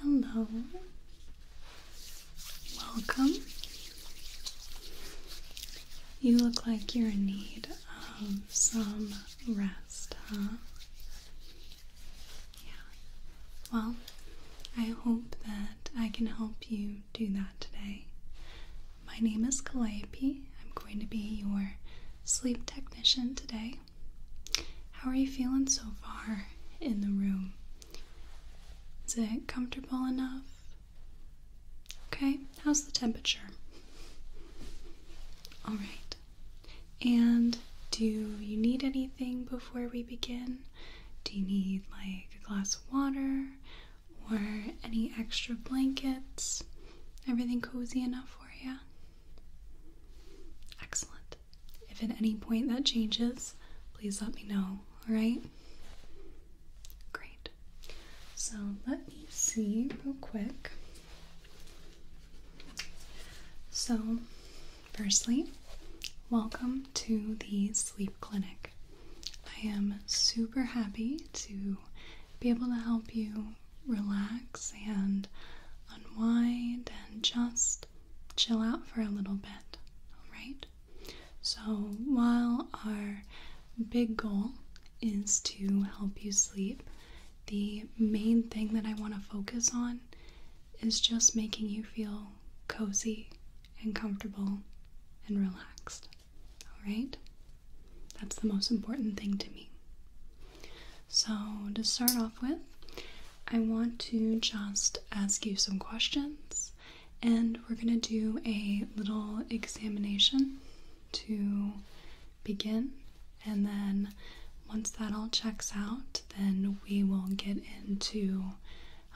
Hello, welcome. You look like you're in need of some rest, huh? Yeah. Well, I hope that I can help you do that today. My name is Calliope. I'm going to be your sleep technician today. How are you feeling so far in the room? Is it comfortable enough? Okay, how's the temperature? All right. And do you need anything before we begin? Do you need like a glass of water or any extra blankets? Everything cozy enough for you? Excellent. If at any point that changes, please let me know, alright? Great. So let me see real quick. So, Firstly, welcome to the sleep clinic. I am super happy to be able to help you relax and unwind and just chill out for a little bit. Alright? So, while our big goal is to help you sleep, the main thing that I want to focus on is just making you feel cozy and comfortable and relaxed. All right? That's the most important thing to me. So, to start off with, I want to just ask you some questions and we're going to do a little examination to begin. And then, once that all checks out, then we will get into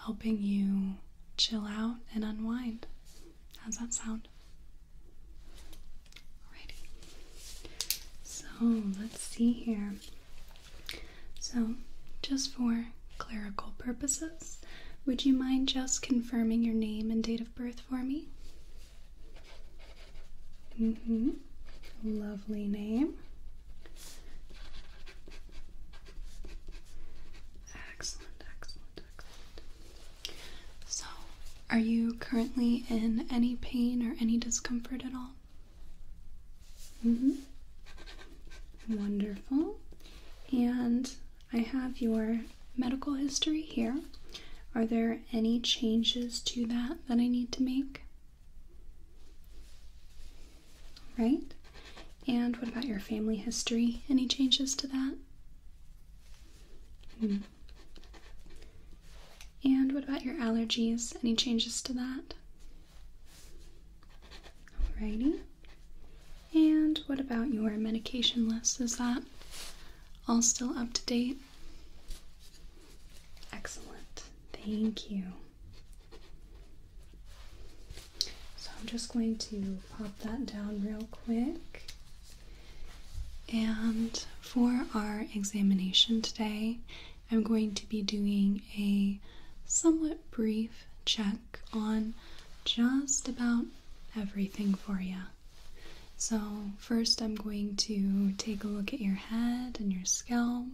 helping you chill out and unwind. How's that sound? Alrighty. So let's see here. So, just for clerical purposes, would you mind just confirming your name and date of birth for me? Mm-hmm. Lovely name. Excellent, excellent, excellent. So, are you currently in any pain or any discomfort at all? Mm-hmm. Wonderful. And I have your medical history here. Are there any changes to that that I need to make? Right? And what about your family history? Any changes to that? Hmm. And what about your allergies? Any changes to that? Alrighty. And what about your medication list? Is that all still up to date? Excellent. Thank you. So I'm just going to pop that down real quick. And for our examination today, I'm going to be doing a somewhat brief check on just about everything for you. So, first, I'm going to take a look at your head and your scalp.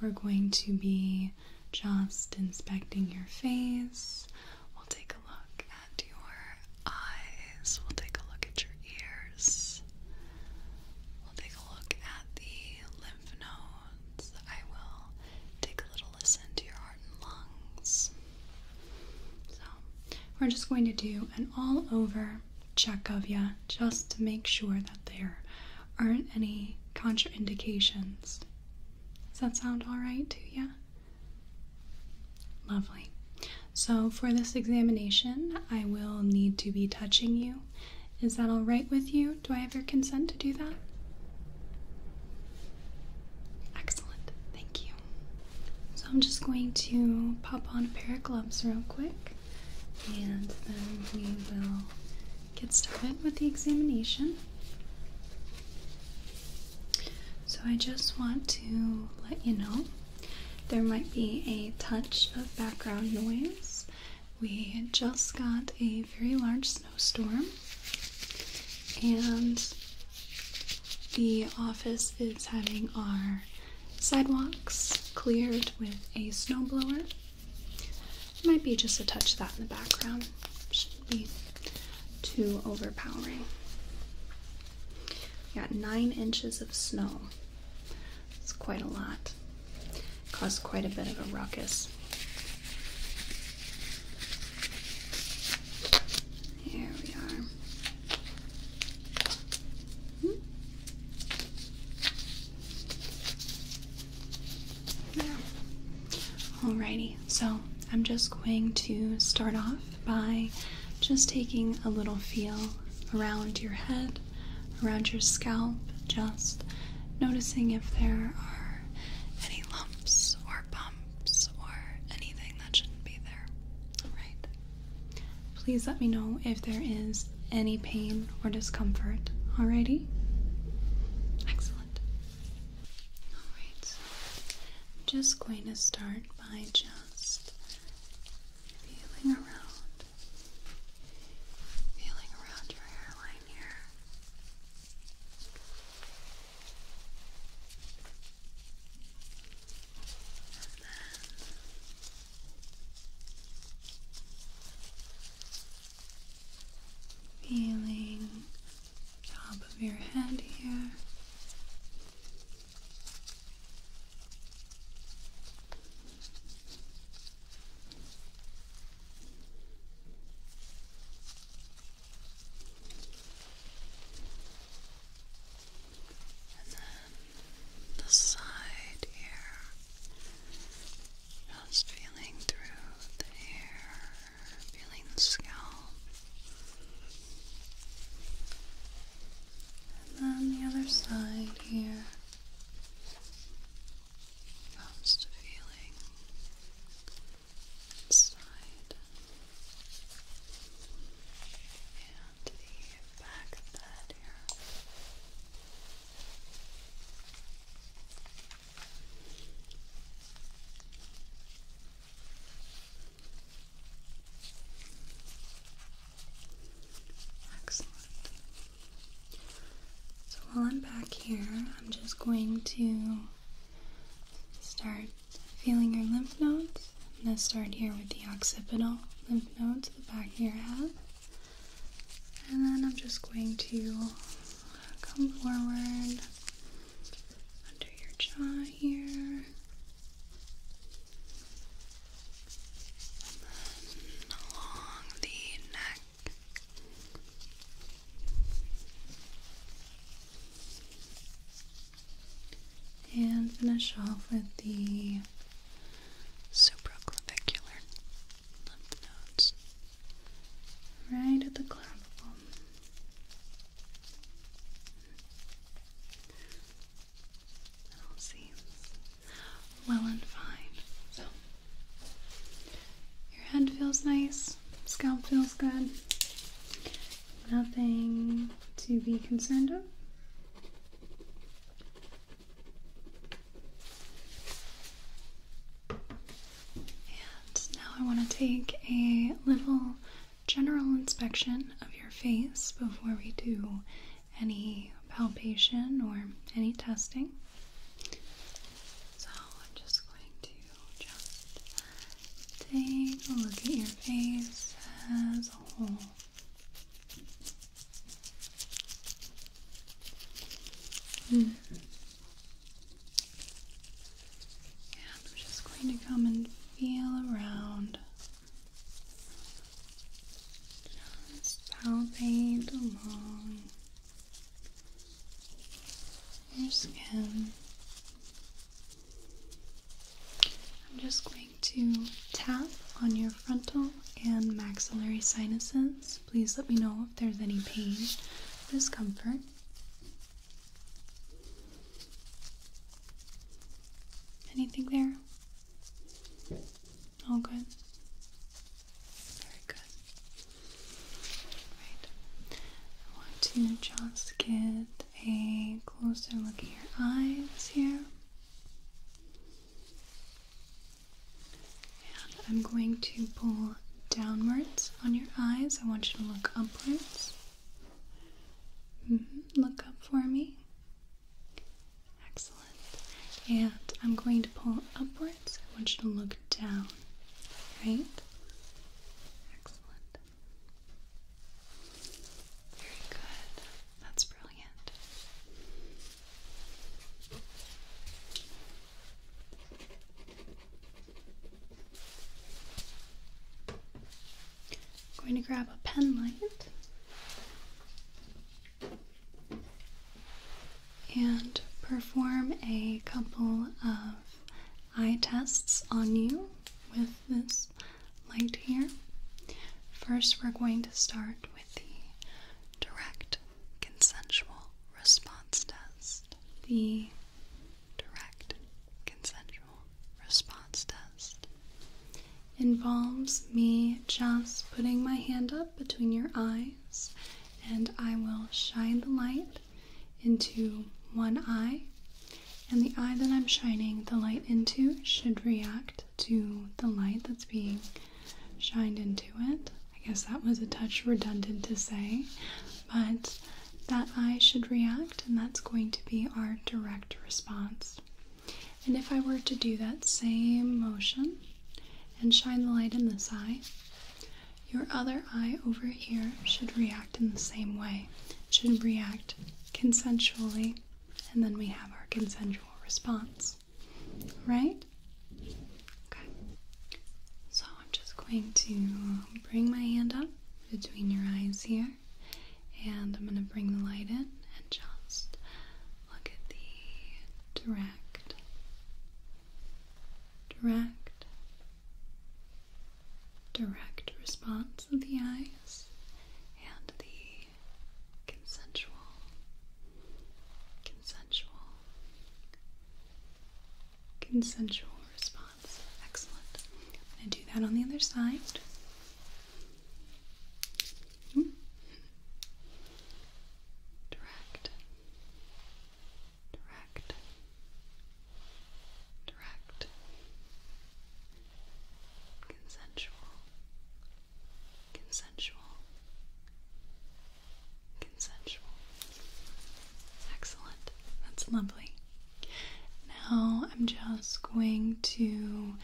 We're going to be just inspecting your face. We'll take a look at your eyes. We'll take a look at your ears. We'll take a look at the lymph nodes. I will take a little listen to your heart and lungs. So, we're just going to do an all over check of you just to make sure that there aren't any contraindications. Does that sound all right to you? Lovely. So, for this examination, I will need to be touching you. Is that all right with you? Do I have your consent to do that? Excellent, thank you. So, I'm just going to pop on a pair of gloves real quick and then we will get started with the examination. So, I just want to let you know there might be a touch of background noise. We just got a very large snowstorm, and the office is having our sidewalks cleared with a snowblower. Might be just a touch of that in the background. Shouldn't be too overpowering. We got nine inches of snow. It's quite a lot. Caused quite a bit of a ruckus. Here we are. Hmm? Alrighty, so I'm just going to start off by just taking a little feel around your head, around your scalp, just noticing if there are any lumps or bumps or anything that shouldn't be there. Alright. Please let me know if there is any pain or discomfort. Alrighty? Excellent. Alright, I'm just going to start by just feeling around, feeling around your hairline here. And then Feeling top of your head here the side here. Just feeling through the hair, feeling scalp. And then the other side here comes feeling side and the back of the head here. Excellent. So while I'm back here, I'm just going to start feeling your lymph nodes. I'm going to start here with the occipital lymph nodes, the back here. your and then I'm just going to come forward under your jaw here. along the neck. And finish off with the supraclavicular lymph nodes right at the clavicle. It all seems well and fine. So, your head feels nice, scalp feels good, nothing to be concerned of. And now I want to take a little general inspection of your face before we do any palpation or any testing. So I'm just going to just take a look at your face as a whole. Mm. And I'm just going to come and feel around. Just palpate along your skin. I'm just going to tap on your frontal and maxillary sinuses. Please let me know if there's any pain discomfort. Anything there? All good. Very good. Right. I want to just get a closer look at your eyes here. And I'm going to pull downwards on your eyes. I want you to look upwards. Mm-hmm. Look up for me. Excellent. And I'm going to pull upwards. I want you to look down. Right? Excellent. Very good. That's brilliant. I'm going to grab a pen light and perform a couple of eye tests on you with this light here. First, we're going to start the direct consensual response test. The direct consensual response test involves me just putting my hand up between your eyes, and I will shine the light into one eye. And the eye that I'm shining the light into should react to the light that's being shined into it. I guess that was a touch redundant to say, but that eye should react, and that's going to be our direct response. And if I were to do that same motion and shine the light in this eye, your other eye over here should react in the same way, should react consensually, and then we have our consensual response. Right? Okay. So I'm just going to bring my hand up between your eyes here, and I'm going to bring the light in and just look at the direct, direct, direct response of the eyes and the consensual, consensual, consensual response. Excellent. I'm going to do that on the other side. Hmm? Direct, direct, direct, consensual, Consensual. Consensual. Excellent. That's lovely. Now I'm just going to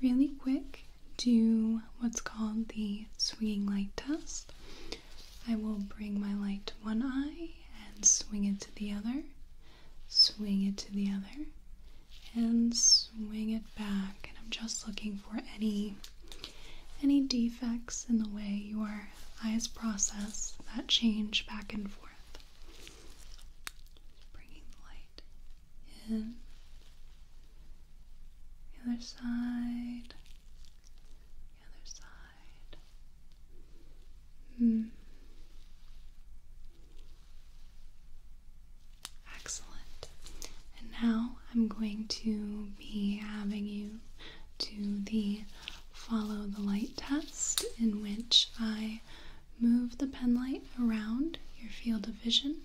really quick do what's called the swinging light test. I will bring my light to one eye and swing it to the other, swing it to the other, and swing it back. And I'm just looking for any any defects in the way your eyes process that change back and forth. bringing the light in. The other side. The other side. Hmm. Excellent. And now I'm going to be having you do the follow the light test, in which I move the pen light around your field of vision.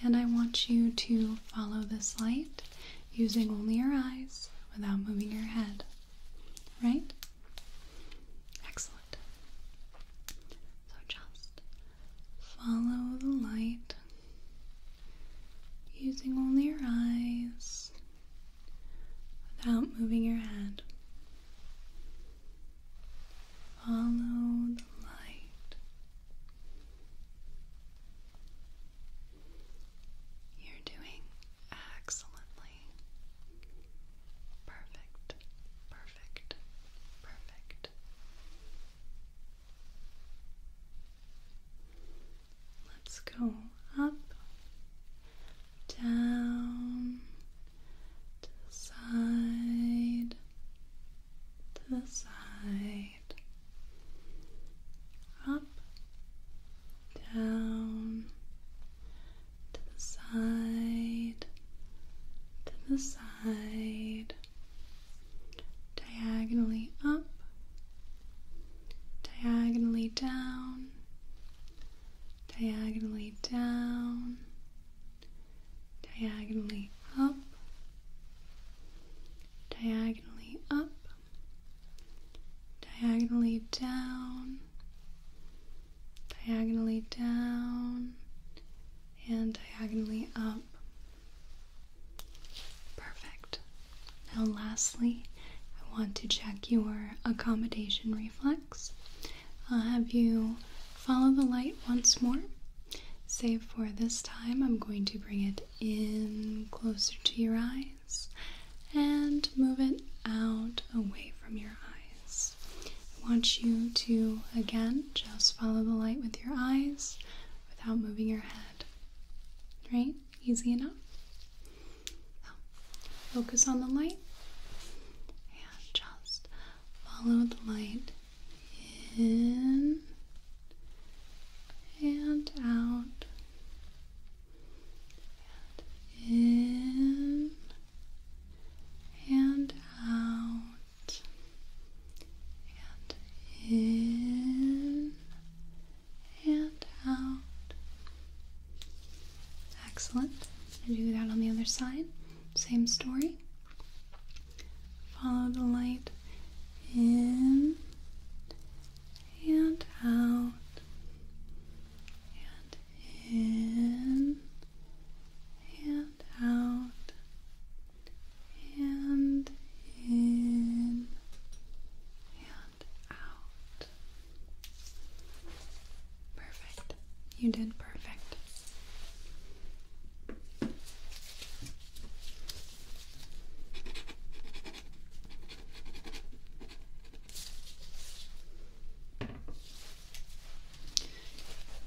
And I want you to follow this light using only your eyes without moving your head. Right? Excellent. So just follow the light using only your eyes without moving your head. Follow the light. You're doing excellently. Perfect, perfect, perfect. Let's go up, down, to the side, to the side, up, down, to the side, to the side diagonally up, diagonally down, diagonally down, diagonally up, diagonally up, diagonally down, diagonally down, and diagonally up. Perfect. Now, lastly, I want to check your accommodation reflex. I'll have you follow the light once more, save for this time I'm going to bring it in closer to your eyes and move it out away from your eyes. I want you to again just follow the light with your eyes without moving your head. Right? Easy enough. focus on the light and just follow the light in and out in and out and in and out. Excellent. do that on the other side. Same story. Follow the light in and out and in and out and in and out. Perfect. You did perfect.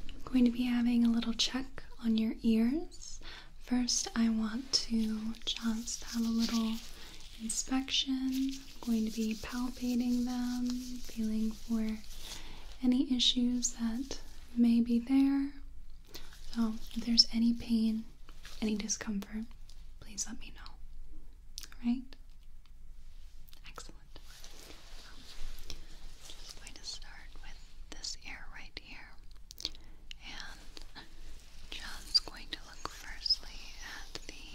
I'm going to be having a little check on your ears. First, I want to just have a little inspection. I'm going to be palpating them, feeling for any issues that may be there. So, if there's any pain, any discomfort, please let me know. All right? Excellent. I'm just going to start with this ear right here. And just going to look firstly at the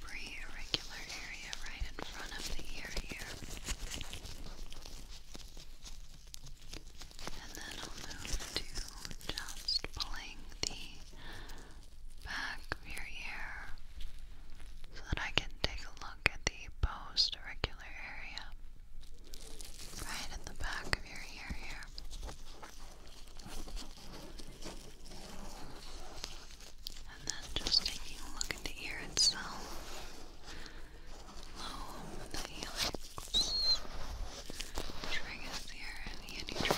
pre irregular area right in front of the ear here. And then I'll move to just pulling the back of your ear so that I can take a look at the post area, right in the back of your ear here. And then just taking a look at the ear itself, lobe the helix, triggers here, and the anti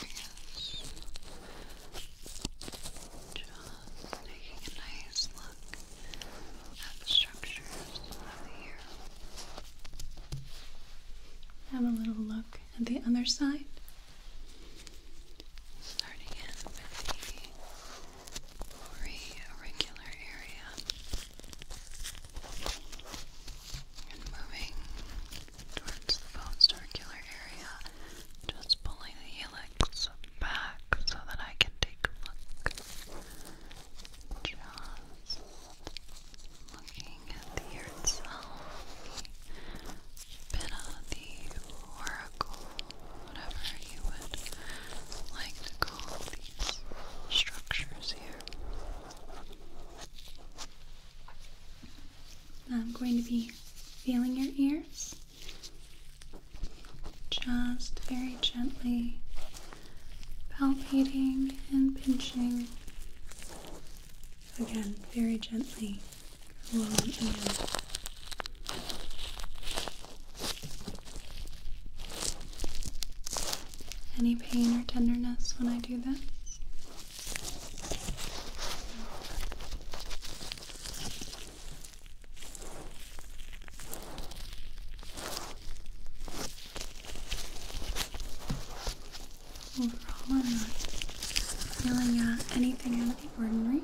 Just taking a nice look and structures of the Have a little look at the other side. Starting with the pre area and moving towards the bones circular area, just pulling the helix back so that I can take a look just looking at the year bit of the oracle, whatever you would like to call these structures here. I'm going to be feeling your ears. Just very gently palpating and pinching. Again, very gently along any pain or tenderness when I do this? Overall, I'm not feeling uh, anything out of the ordinary.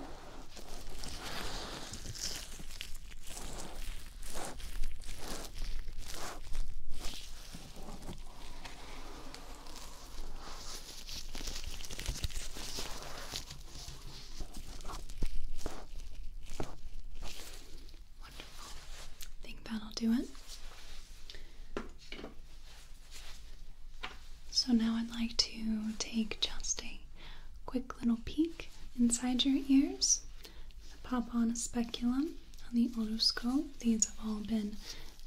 I think that'll do it. So now I'd like to take just a quick little peek inside your ears. Pop on a speculum on the otoscope. These have all been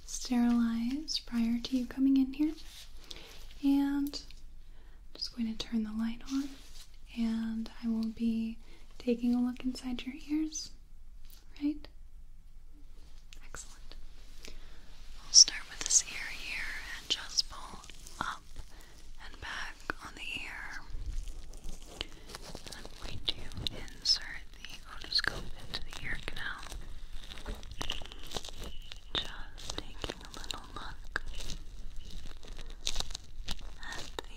sterilized prior to you coming in here. And I'm just going to turn the light on and I will be taking a look inside your ears. Right? Excellent. I'll start with this ear here and just pull up and back on the ear. I'm going to insert the otoscope into the ear canal. Just take a little look at the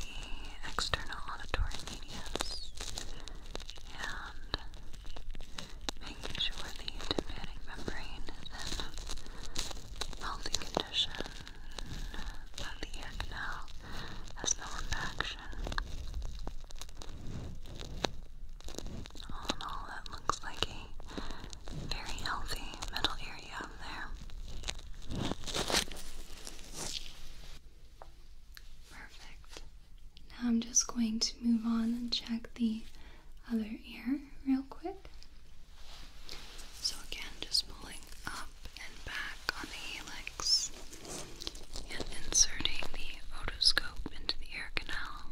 external auditory medias and making sure the tympanic membrane is in healthy condition, that the ear has no impaction. All in all, that looks like a very healthy middle ear Perfect. Now I'm just going to move on and check the other ear real quick. So, again, just pulling up and back on the helix and inserting the otoscope into the ear canal.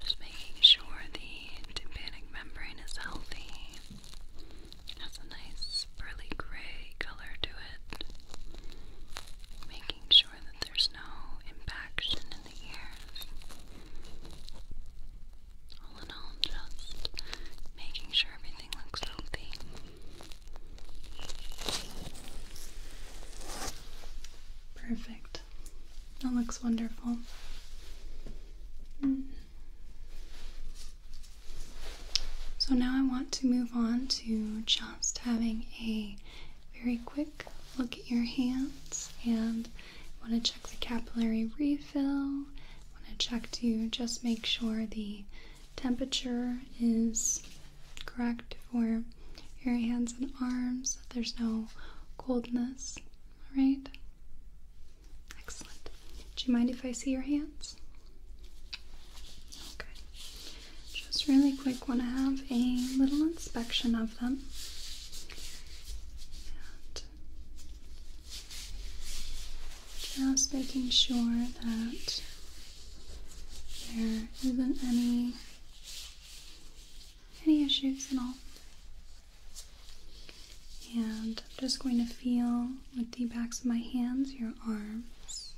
Just making sure the tympanic membrane is healthy. Has a nice pearly gray color to it. Making sure that there's no impaction in the ears. All in all, just making sure everything looks healthy. Perfect. That looks wonderful. Mm. So now I want to move on to just having a very quick look at your hands and want to check the capillary refill. want to check to just make sure the temperature is correct for your hands and arms, that there's no coldness all right. Excellent. Do you mind if I see your hands? Okay. Oh, just really quick, want to have a little inspection of them. just making sure that there isn't any any issues at all. And I'm just going to feel with the backs of my hands your arms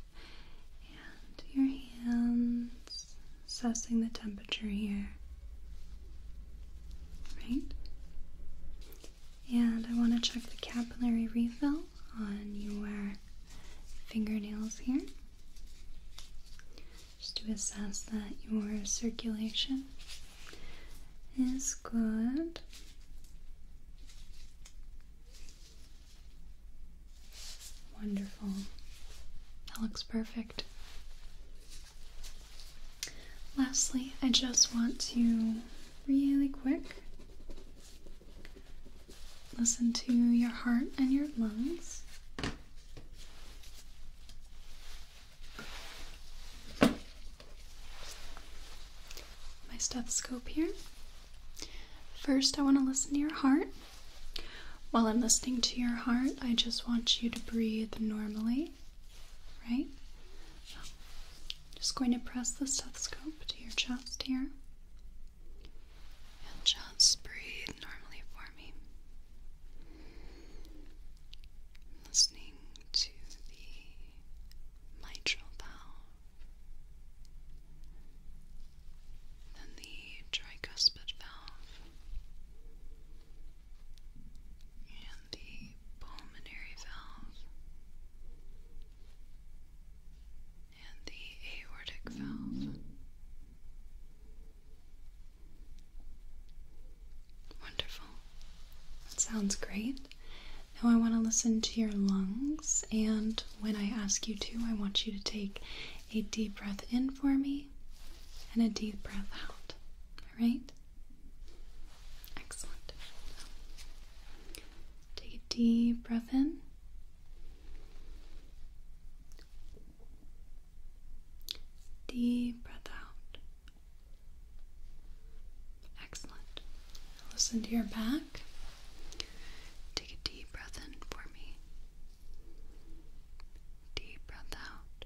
and your hands, assessing the temperature here. Right? And I want to check the capillary refill on your fingernails here just to assess that your circulation is good. Wonderful. That looks perfect. Lastly, I just want to really quick listen to your heart and your lungs my stethoscope here. First, I want to listen to your heart. While I'm listening to your heart, I just want you to breathe normally, right? just going to press the stethoscope to your chest here. And just breathe normally for me listening to the mitral valve, then the tricuspid valve, and the pulmonary valve, and the aortic valve. Wonderful. That sounds great. Now I want to listen to your lungs, and when I ask you to, I want you to take a deep breath in for me and a deep breath out. All right? Excellent. Take a deep breath in. Deep breath out. Excellent. Listen to your back. Take a deep breath in for me. Deep breath out.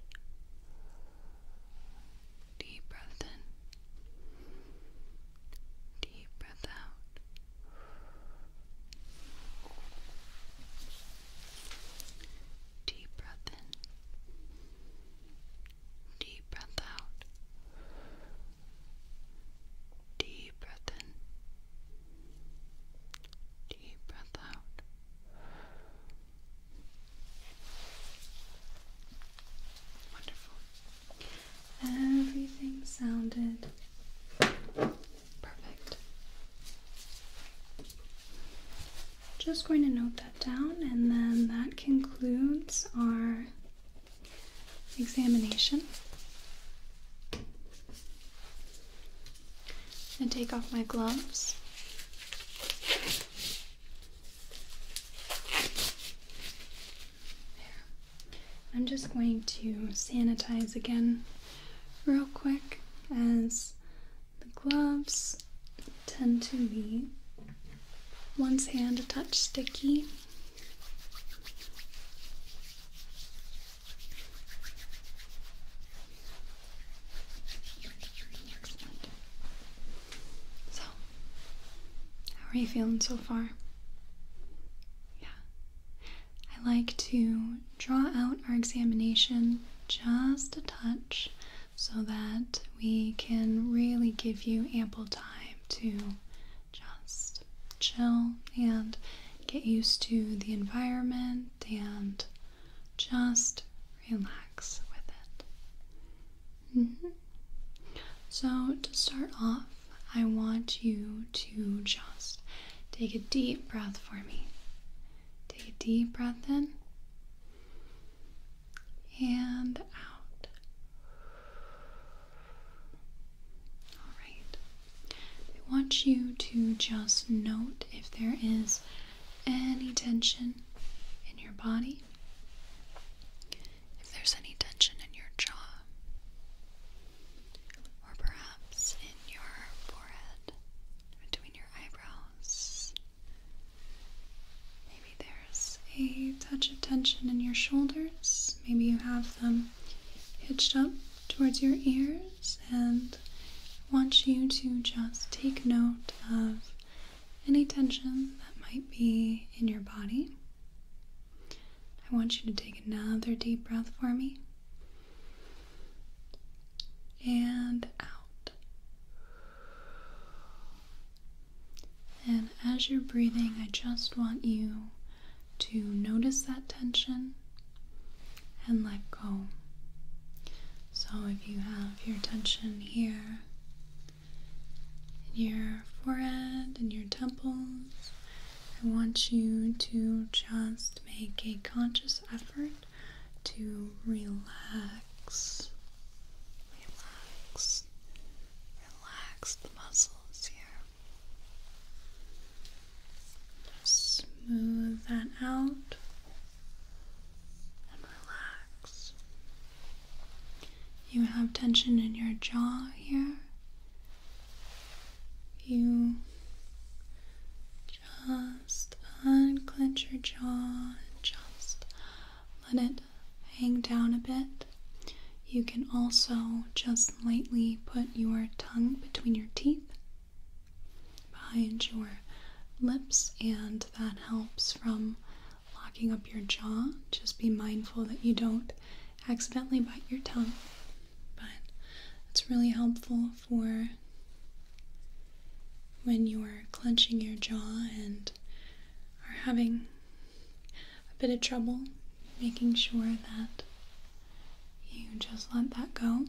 Deep breath in. Deep breath out. Deep breath in. Deep breath out. Deep breath in. Deep breath out. Wonderful. Everything sounded perfect. Just going to note that down, and then that concludes our examination. And take off my gloves. I'm just going to sanitize again real quick as the gloves tend to be one's hand a touch sticky. So, how are you feeling so far? Yeah. I like to draw out our examination just a touch so that we can really give you ample time to just chill and get used to the environment and just relax with it. Mm-hmm. So, to start off, I want you to just take a deep breath for me. Take a deep breath in and out. All right. I want you to just note if there is any tension in your body, if there's any tension in your jaw, or perhaps in your forehead, between your eyebrows. Maybe there's a touch of tension in your shoulders. Maybe you have them hitched up towards your ears and want you to just take note of any tension that might be in your body. I want you to take another deep breath for me and out. And as you're breathing, I just want you to notice that tension and let go. So if you have your tension here, in your forehead and your temples, I want you to just make a conscious effort to relax, relax, relax the muscles here. Just smooth that out and relax. You have tension in your jaw here. You just unclench your jaw just let it hang down a bit. You can also just lightly put your tongue between your teeth, behind your lips, and that helps from locking up your jaw. Just be mindful that you don't accidentally bite your tongue, but it's really helpful for when you are clenching your jaw and are having a bit of trouble making sure that you just let that go.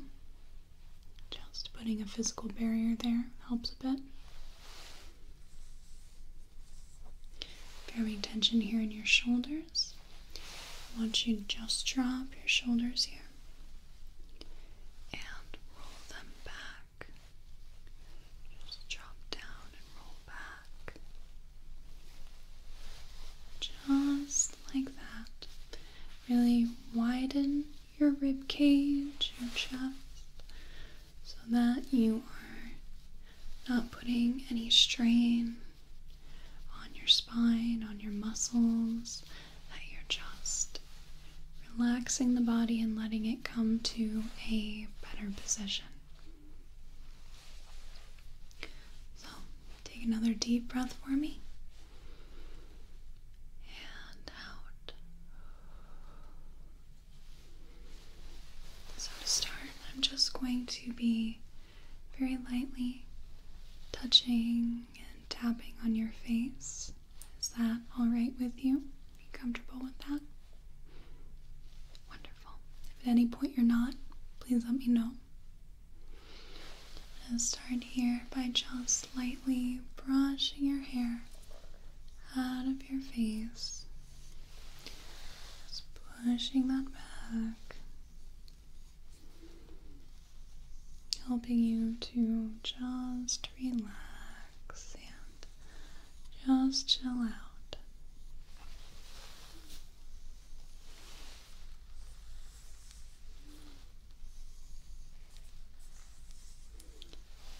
Just putting a physical barrier there helps a bit. If you're having tension here in your shoulders, I want you to just drop your shoulders here and roll them back. Just drop down and roll back. Just like that. Really widen your rib cage, your chest, so that you are not putting any strain on your spine, on your muscles, that you're just relaxing the body and letting it come to a better position. So, take another deep breath for me. And out. So, to start, I'm just going to be very lightly touching and tapping on your face. Is that all right with you? comfortable with that? Wonderful. If at any point you're not, please let me know. i start here by just lightly brushing your hair out of your face. Just pushing that back helping you to just relax and just chill out.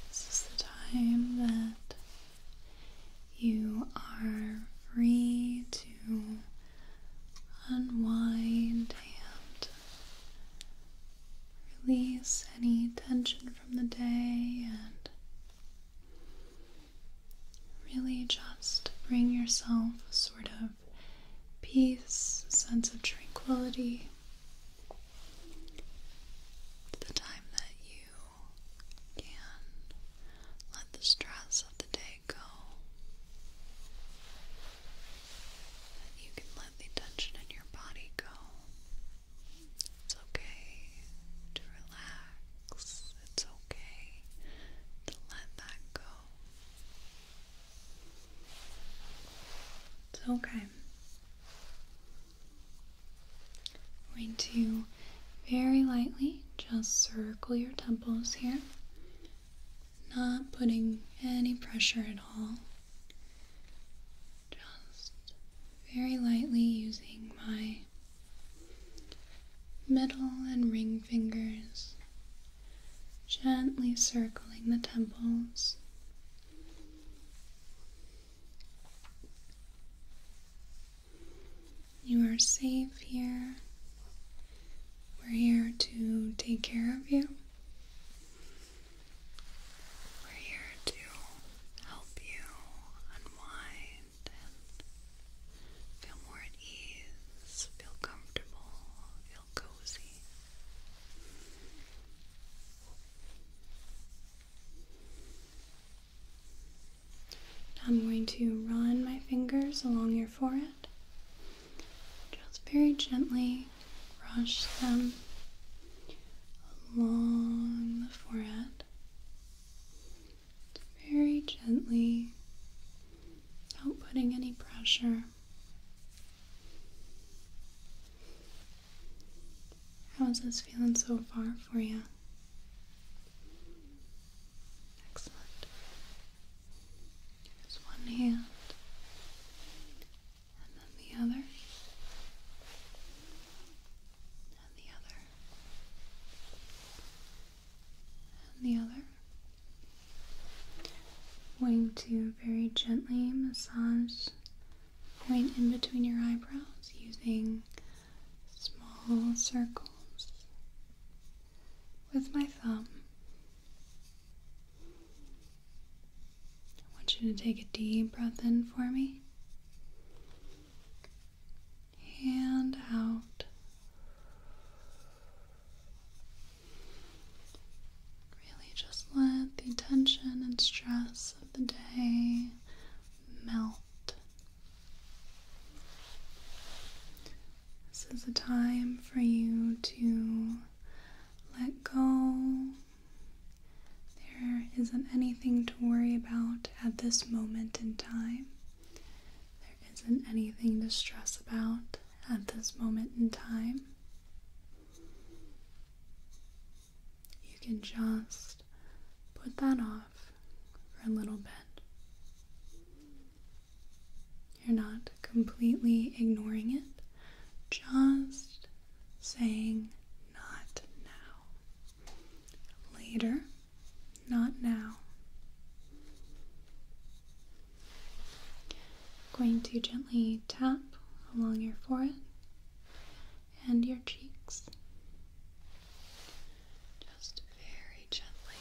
This is the time that you are free to unwind and release any tension from the day and really just bring yourself a sort of peace, sense of tranquility the time that you can let the stress of the day go you can let the tension in your body go. It's okay to relax. It's okay to let that go. It's okay. going to very lightly just circle your temples here, not putting any pressure at all. Just very lightly using my middle and ring fingers, gently circling the temples. You are safe here. We're here to take care of you. We're here to help you unwind and feel more at ease, feel comfortable, feel cozy. I'm going to run my fingers along your forehead. Just very gently brush them along the forehead. Very gently, without putting any pressure. How's this feeling so far for you? Excellent. Here's one hand and then the other, and the other, and the other. Going to very gently massage the point in between your eyebrows using small circles with my thumb. I want you to take a deep breath in for me and out. Really just let the tension and stress of the day melt. This is a time for you to let go. There isn't anything to worry about at this moment in time. There isn't anything to stress about at this moment in time. You can just put that off for a little bit. You're not completely ignoring it, just saying not now. Later, not now. going to gently tap along your forehead and your cheeks. Just very gently,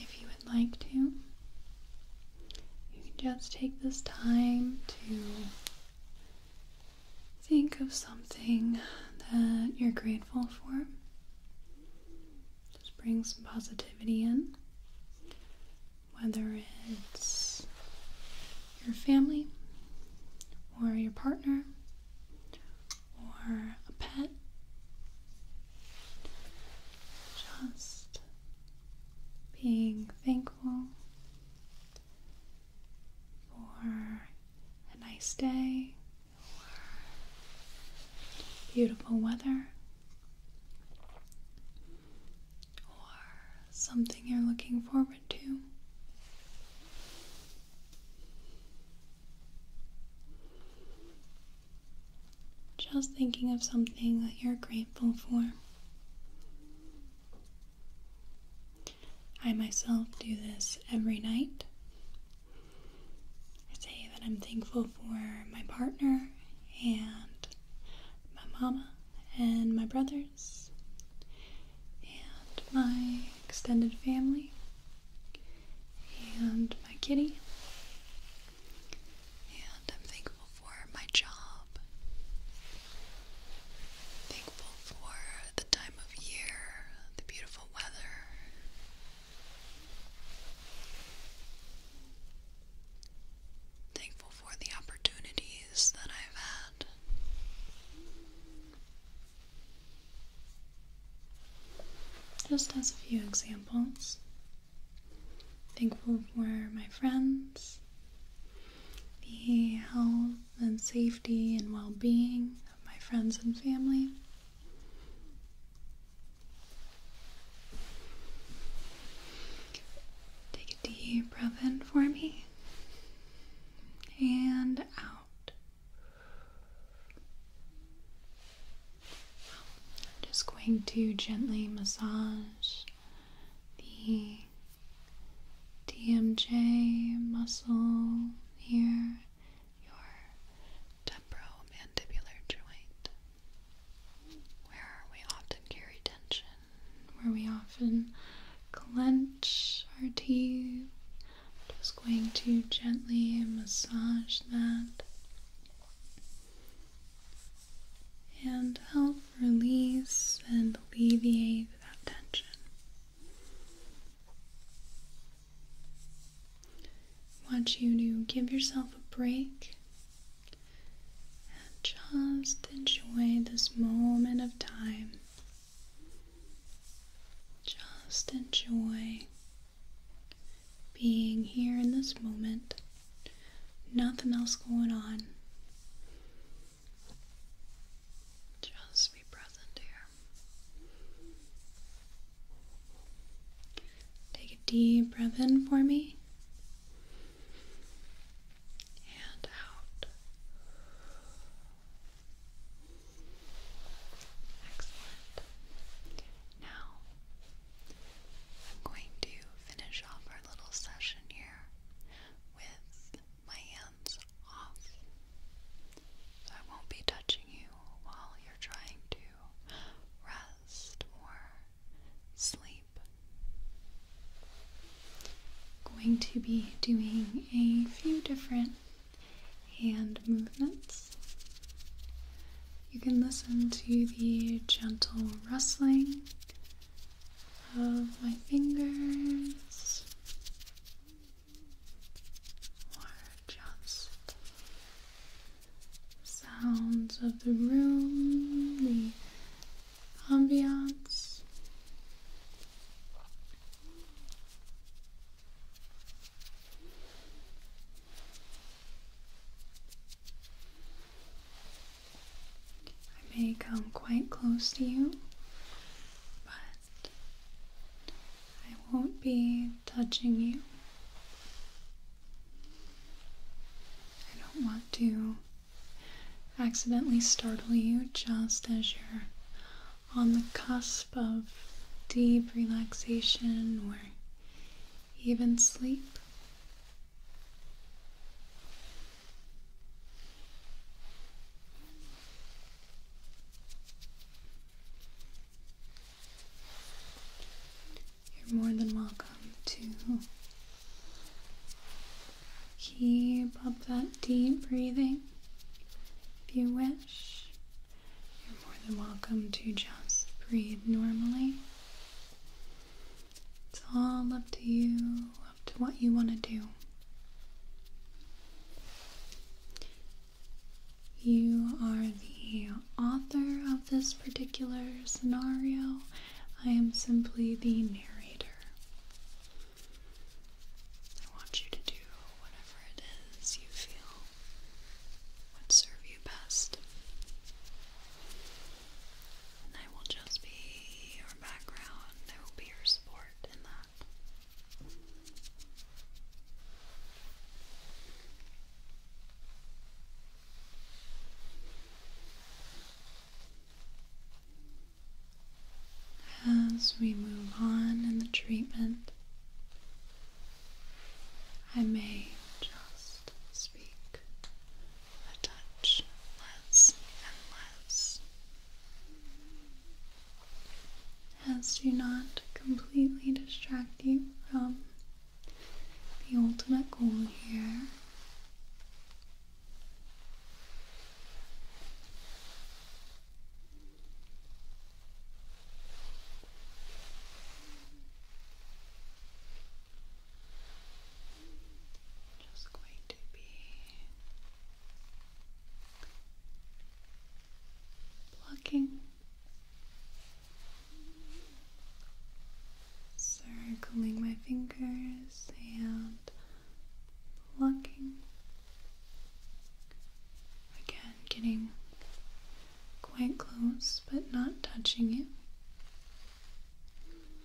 if you would like to, you can just take this time to Think of something that you're grateful for. Just bring some positivity in. Whether it's your family, or your partner, or a pet. Just being thankful or a nice day beautiful weather or something you're looking forward to. Just thinking of something that you're grateful for. I myself do this every night. I say that I'm thankful for my partner and my mama and my brothers and my extended family and my kitty. And I'm thankful for my job Thankful for the time of year, the beautiful weather. Thankful for the opportunities that I've had. Just as a few examples, thankful for my friends, the health and safety and well being of my friends and family. Take a deep breath in for me and out. just going to gently massage the DMJ muscle near your temporomandibular joint, where we often carry tension, where we often clench our teeth. just going to gently massage that and help release and alleviate I want you to give yourself a break and just enjoy this moment of time. Just enjoy being here in this moment. Nothing else going on. Just be present here. Take a deep breath in for me and out. Excellent. Now, I'm going to finish off our little session here with my hands off. So I won't be touching you while you're trying to rest or sleep. going to be doing a few different hand movements. You can listen to the gentle rustling of my fingers or just sounds of the room, the ambiance. I may come quite close to you, but I won't be touching you. I don't want to accidentally startle you just as you're on the cusp of deep relaxation or even sleep. You're more than welcome to keep up that deep breathing if you wish. You're more than welcome to just breathe normally. It's all up to you to what you want to do. You are the author of this particular scenario. I am simply the narrator. I want you to do whatever it is you feel would serve you best. I will just be your background. I will be your support in that. As we move on in the treatment, I may just speak a touch less and less as to not completely distract you from the ultimate goal here just going to be plucking, circling my fingers and plucking. Again, getting quite close but not touching it.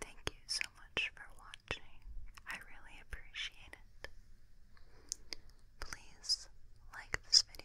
Thank you so much for watching. I really appreciate it. Please like this video